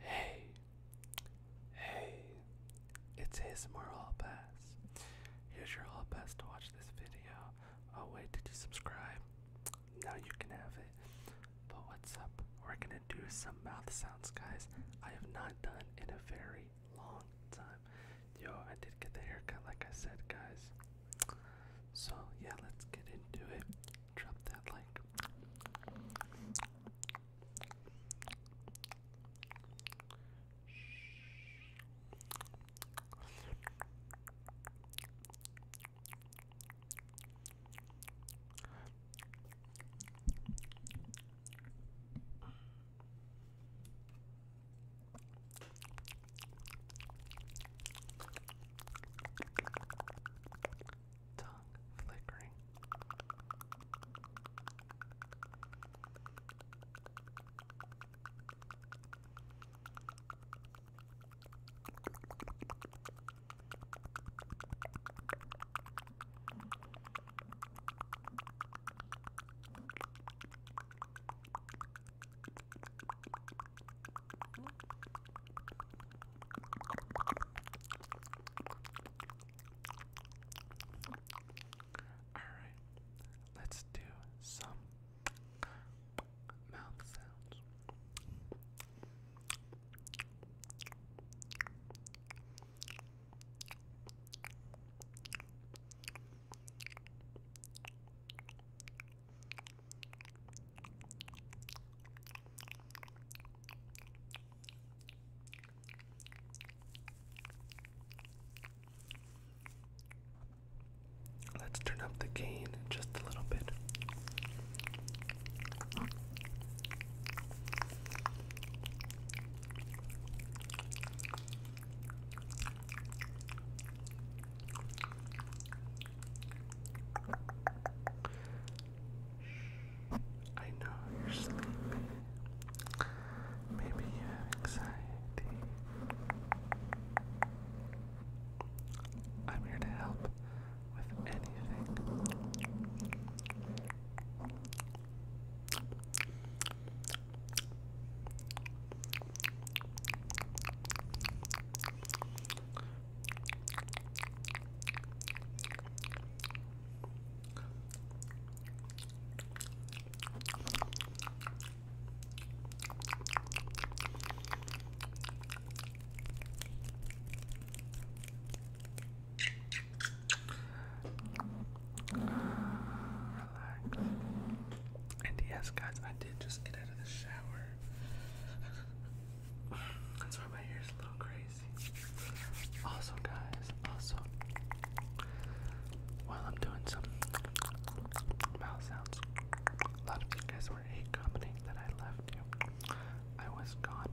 Hey, hey, it's ASMR Hall Pass. Here's your all Pass to watch this video. Oh, wait, did you subscribe? Now you can have it. But what's up? We're gonna do some mouth sounds, guys. I have not done in a very long time. Yo, I did get the haircut, like I said, guys. So, yeah, let's get into it. Drop that like tongue flickering. Alright, let's do some mouth sounds. Let's turn up the gain just a little bit. I know you're sleepy. Maybe you have anxiety. I'm here to help with anything yes, guys, I did just get out of the shower. That's why my ears are a little crazy. Also, guys, also, while I'm doing some mouth sounds, a lot of you guys were hate that I left you. I was gone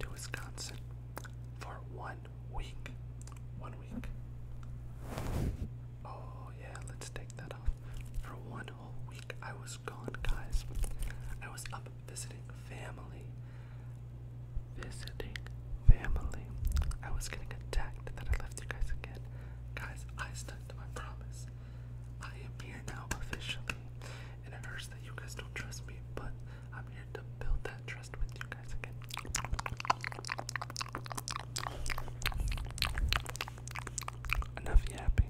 to Wisconsin for one week. One week. Oh, yeah, let's take that off. For one whole week I was gone, guys. I was up visiting family. Visiting family. I was getting attacked that I left you guys again. Guys, I stuck to my promise. I am here now officially. And it hurts that you guys don't trust me, but I'm here to build that trust with you guys again. Enough yapping.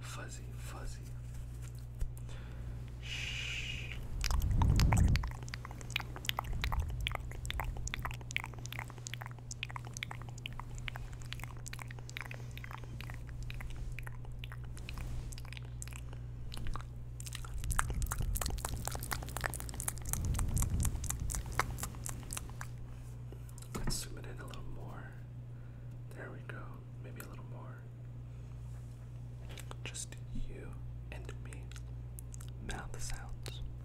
Fuzzy, fuzzy. Shh. Let's zoom it in a little more. There we go. Maybe a little more. Just you and me. Mouth sounds.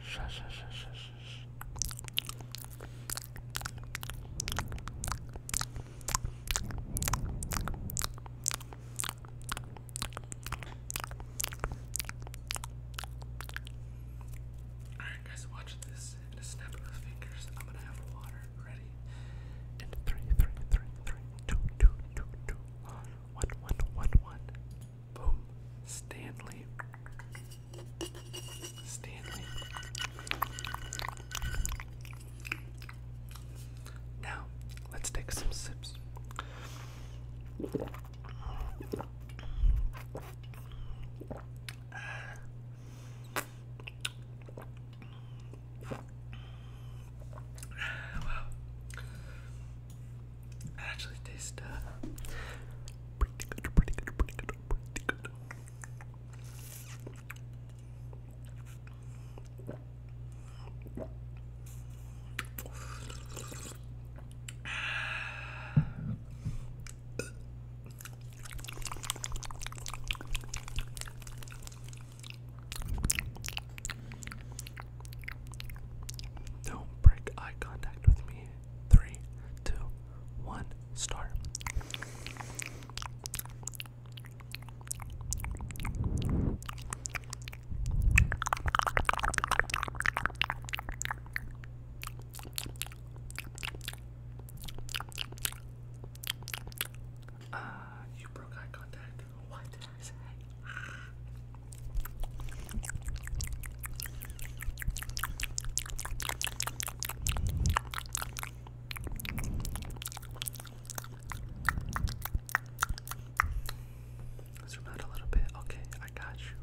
Shush, shush, shush, shush, shush. Alright, guys, watch this. In a snap of the fingers, I'm gonna have water ready. In 3, 3, 3, 3, 2, 2, 2, 2, 1, 1, 1, 1, Boom. Stanley. Stanley. Now, let's take some sips. Wow. It actually tastes uh, pretty good, pretty good, pretty good, pretty good. Don't break eye contact with me. Three, two, one, start. Uh, you broke eye contact. What did I say? a little bit. Okay, I got you.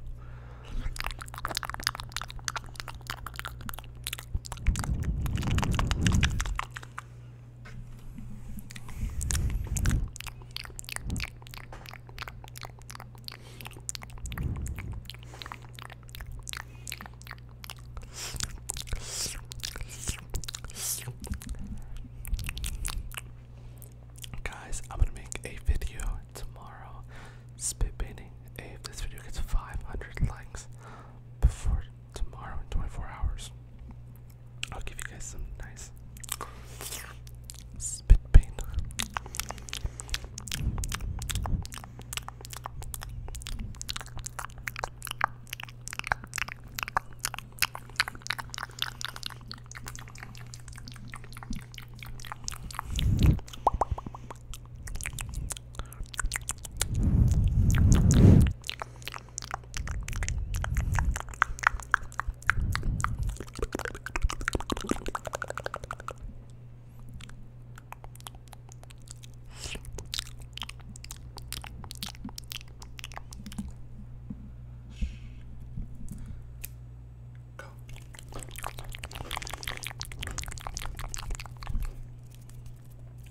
Guys, I'm gonna make a video tomorrow spit painting. If this video gets 500 likes before tomorrow in 24 hours, I'll give you guys some nice spit paint. Go.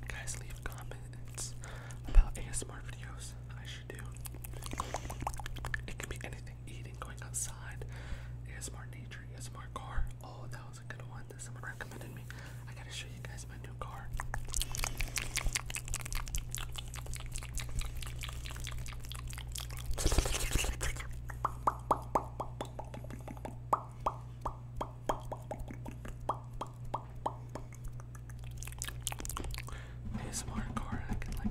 Guys, leave comments about ASMR videos. I it could be anything eating, going outside, ASMR nature, ASMR car. Oh, that was a good one someone recommended me. I gotta show you guys my new car. ASMR in car and I can like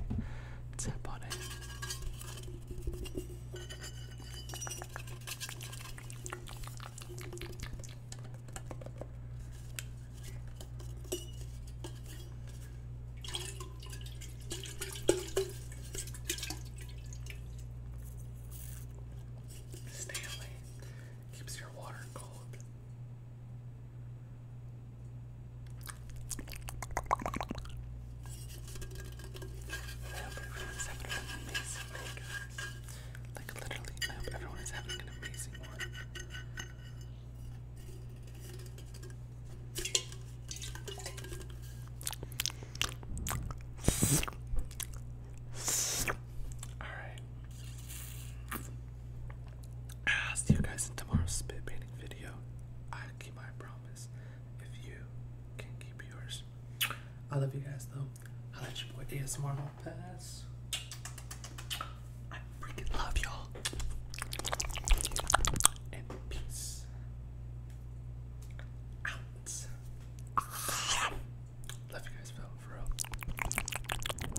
tap on it. Stanley keeps your water cold. I hope everyone's having an amazing day, guys. Like, literally, I hope everyone is having an amazing one. Alright. I'll see you guys in tomorrow's spit painting video. I keep my promise if you can keep yours. I love you guys though. I'll let your boy ASMR pass. I freaking love y'all. And peace out. Love you guys,